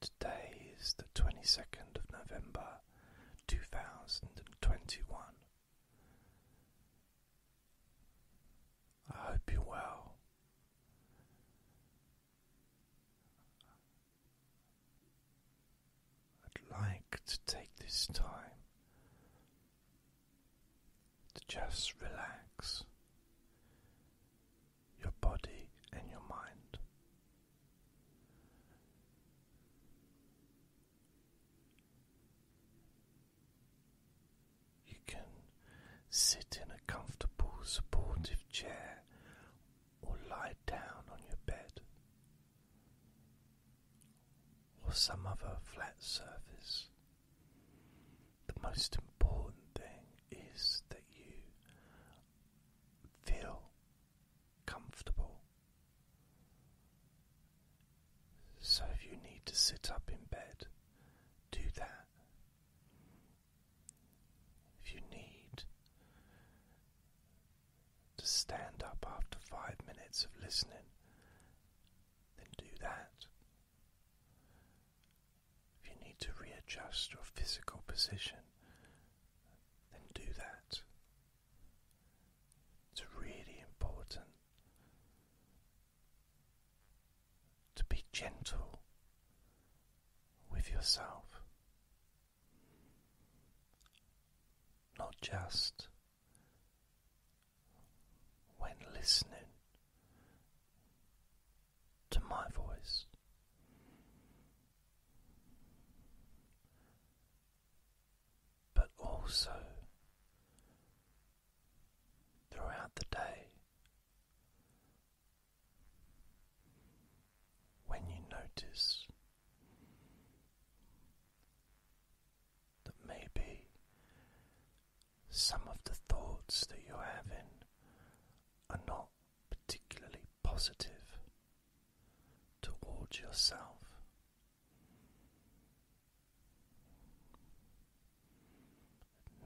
Today is the 22nd of November 2021. I hope you well. I'd like to take this time to just relax your body and your mind. You can sit in a comfortable, supportive chair or lie down on your bed or some other flat surface. The most important thing is that you feel comfortable. So, if you need to sit up in bed, do that. If you need to stand up after five minutes of listening, then do that. If you need to readjust your physical position, then do that. It's really important to be gentle with yourself, not just when listening to my voice. But also throughout the day, when you notice that maybe some of the thoughts that you're having are not particularly positive towards yourself.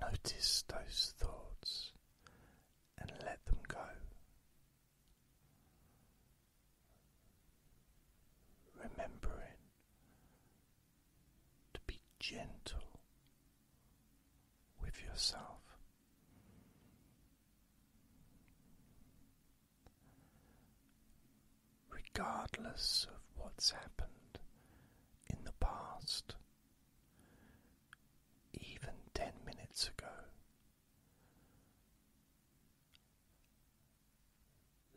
Notice those thoughts and let them go. Remembering to be gentle with yourself. Regardless of what's happened in the past, even ten minutes ago,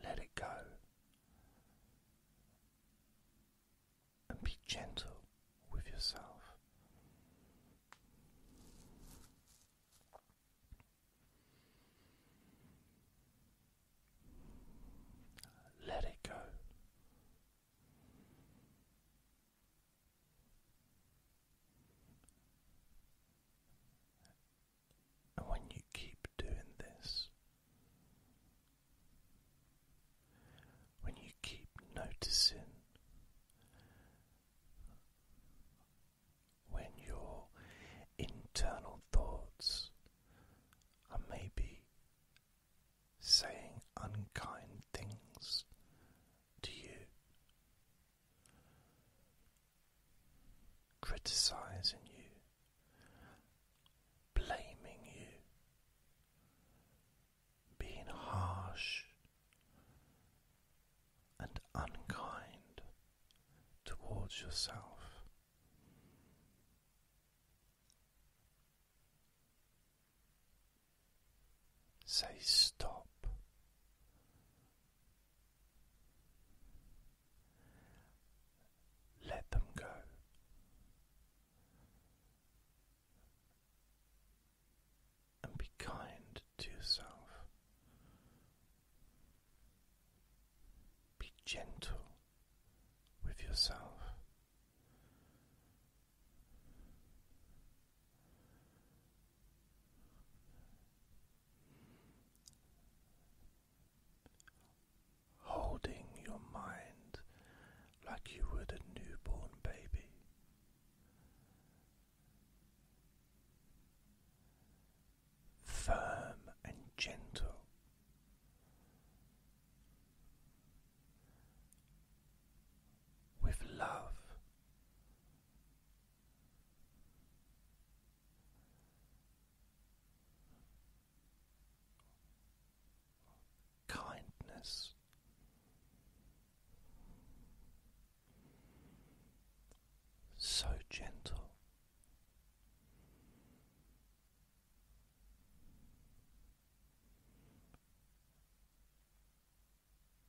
let it go and be gentle with yourself. Let it go. And when you keep doing this, when you keep noticing when your internal thoughts are maybe saying unkind things to you, criticizing you blaming you, being harsh and unkind towards yourself. Say stop let them go. And be kind to yourself. Be gentle with yourself holding your mind like you would a newborn baby. Firm and gentle. With love, kindness. So gentle.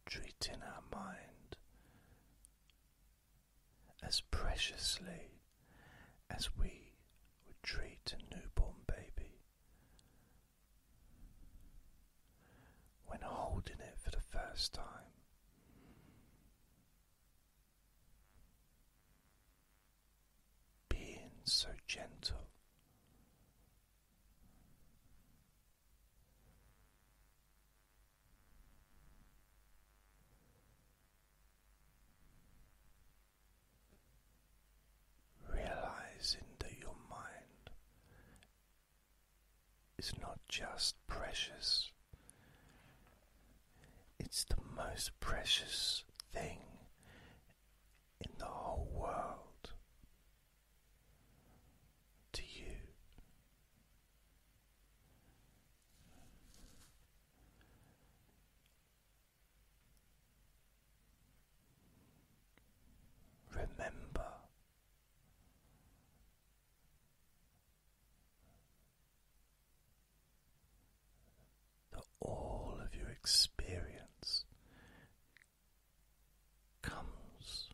Treating our mind as preciously as we would treat a newborn baby. When holding it for the first time, being so gentle, Realizing that your mind is not just precious, it's the most precious thing in the whole world to you. Remember that all of your experience comes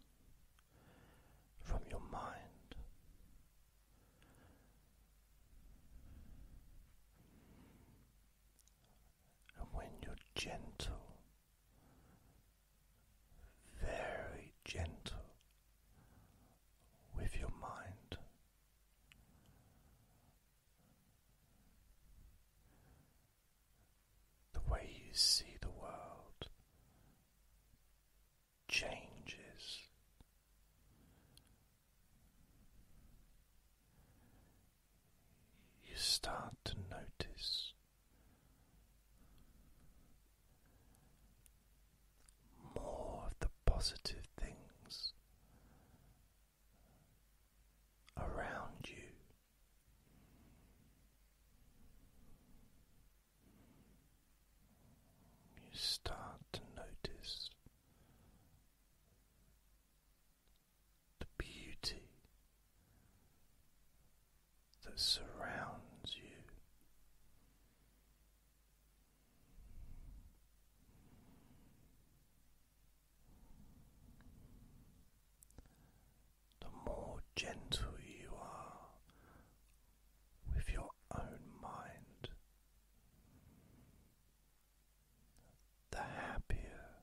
from your mind. And when you're gentle, very gentle with your mind, the way you see the world changes. You start to notice more of the positive things around you you start to notice the beauty that surrounds you. The more gentle you are with your own mind, the happier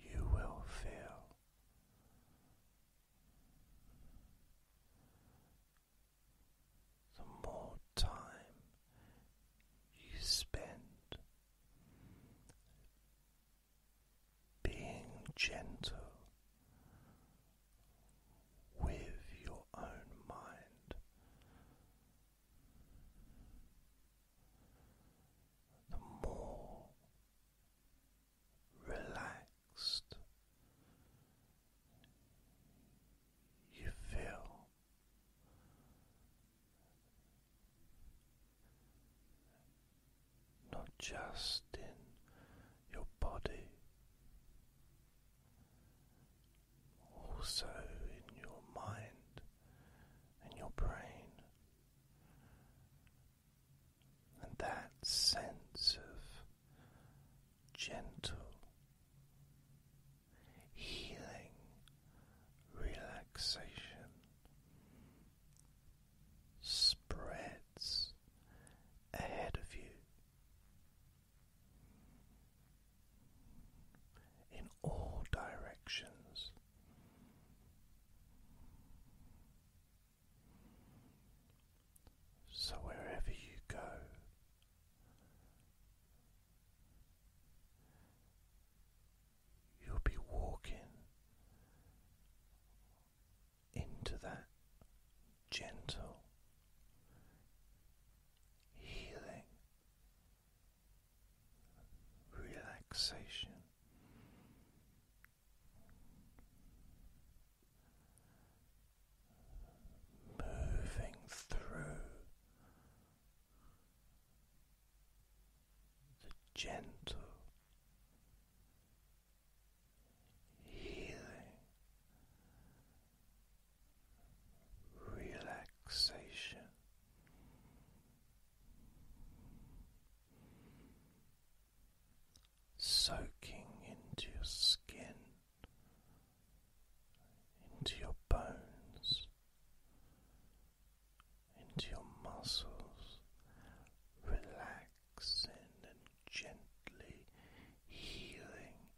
you will feel. The more time you spend being gentle with your own mind. The more relaxed you feel, not just in your body also in your mind and your brain. And that sense of gentle healing relaxation spreads ahead of you in all directions. So, wherever you go, you'll be walking into that gentle healing relaxation. Moving through the gentle healing, relaxation. Soaking into your skin, into your bones, into your muscles, relax and gently healing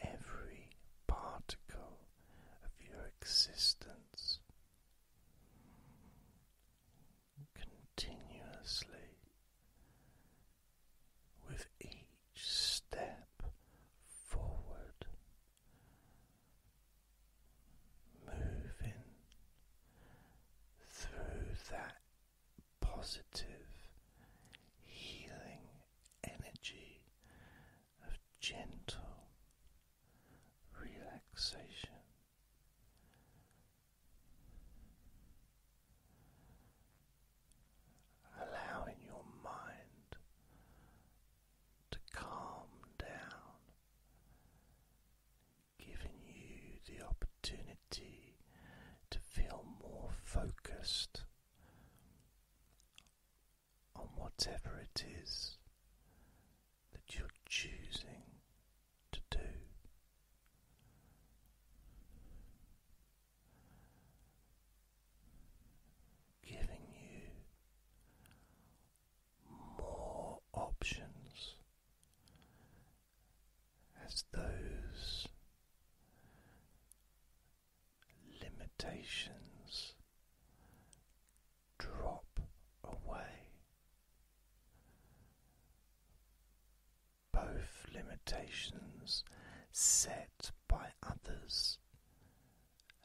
every particle of your existence continuously with each step forward. Moving through that positive healing energy of gentle relaxation. Allowing your mind to calm down, giving you the opportunity to feel more focused on whatever it is that you're choosing to do. Giving you more options as those limitations drop away. Both limitations set by others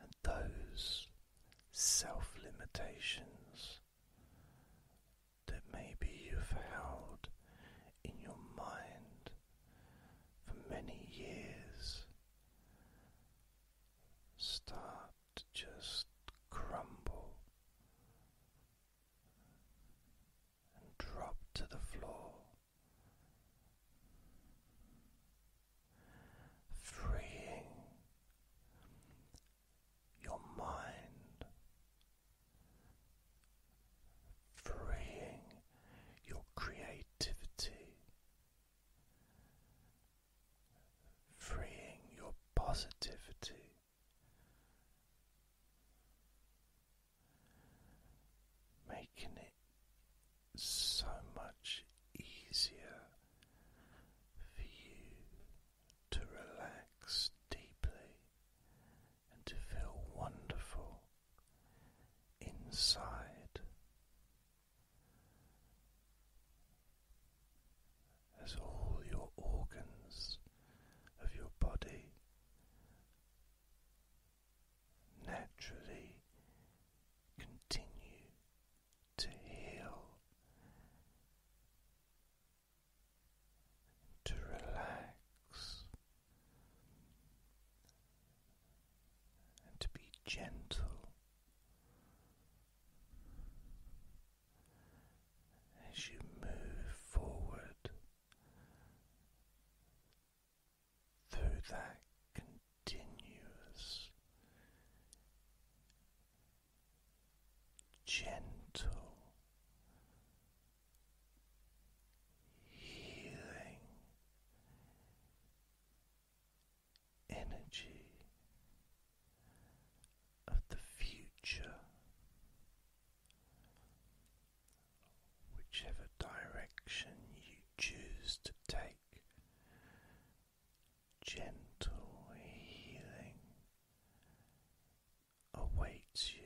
and those self limitations that maybe you've held in your mind for many years start to just crumble and drop to the floor. Freeing your mind, freeing your creativity, freeing your positivity. Making it so much easier for you to relax deeply and to feel wonderful inside. As all your organs of your body naturally continue to heal to relax and to be gentle as you move forward through that continuous gentle healing energy of the future, whichever direction you choose to take. Gentle healing awaits you.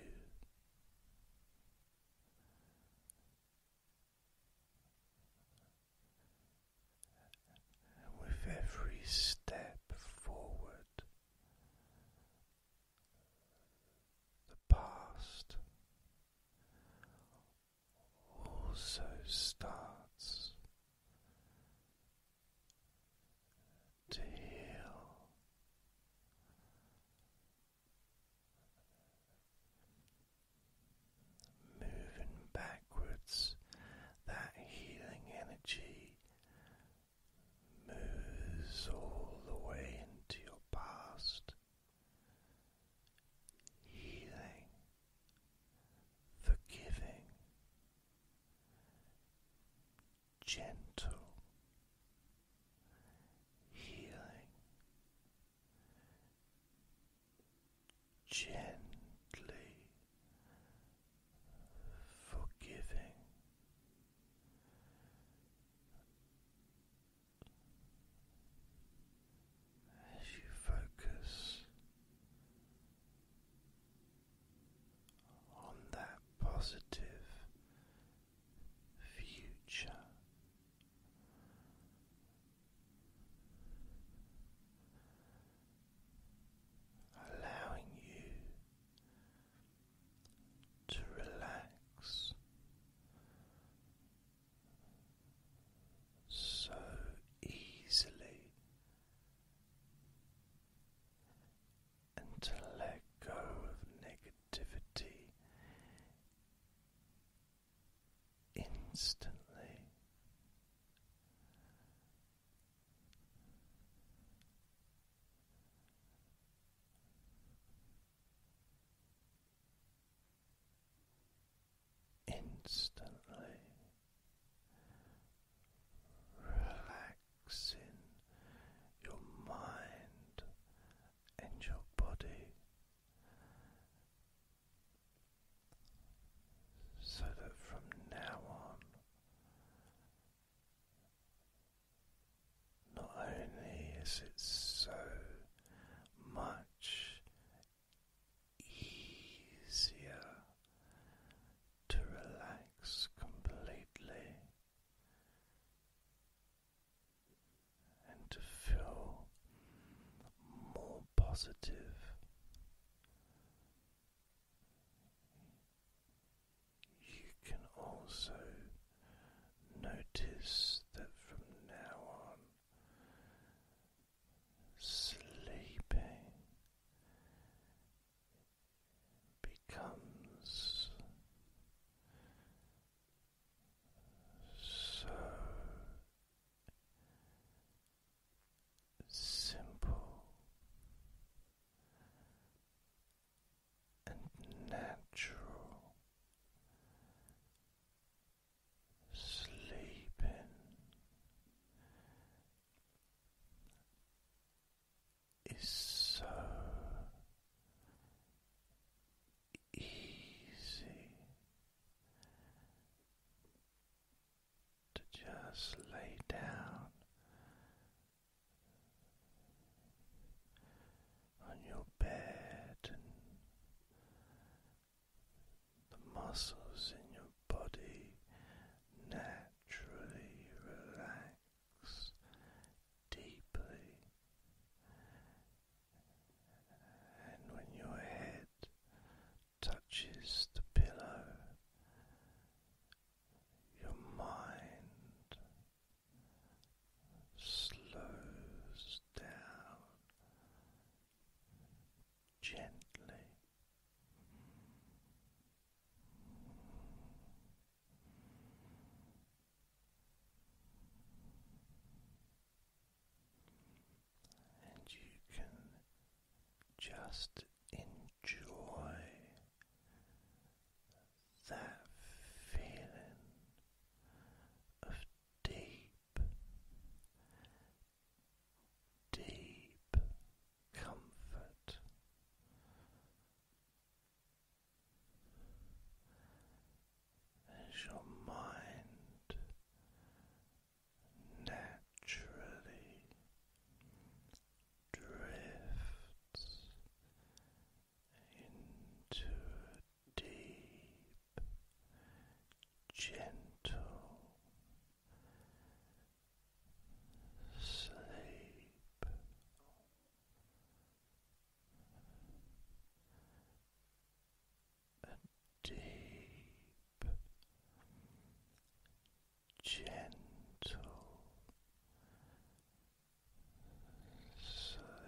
With every step forward, the past also starts to heal. Moving backwards, that healing energy moves all the way into your past. Healing, forgiving, gentle healing gently forgiving as you focus on that positive future. Allowing you to relax so easily and to let go of negativity instantly. Instantly, relaxing your mind and your body so that from now on. Not only is it so much easier to relax completely and to feel more positive. You can also notice that from now on sleeping becomes so simple and natural sleeping is so easy to just lay down on your bed the muscles in your body naturally relax deeply. And when your head touches the pillow, your mind slows down gently. And you can just enjoy that feeling of deep deep comfort. As your mind naturally drifts into deep, gentle sleep. A deep, gentle sleep.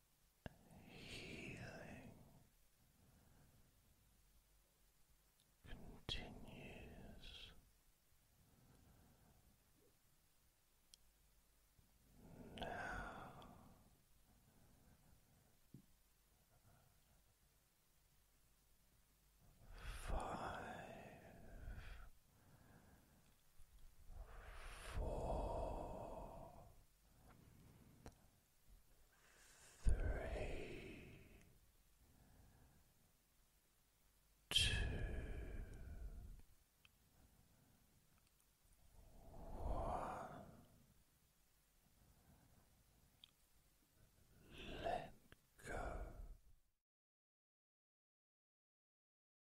healing continues now. Five, four, three, two, one. Let go.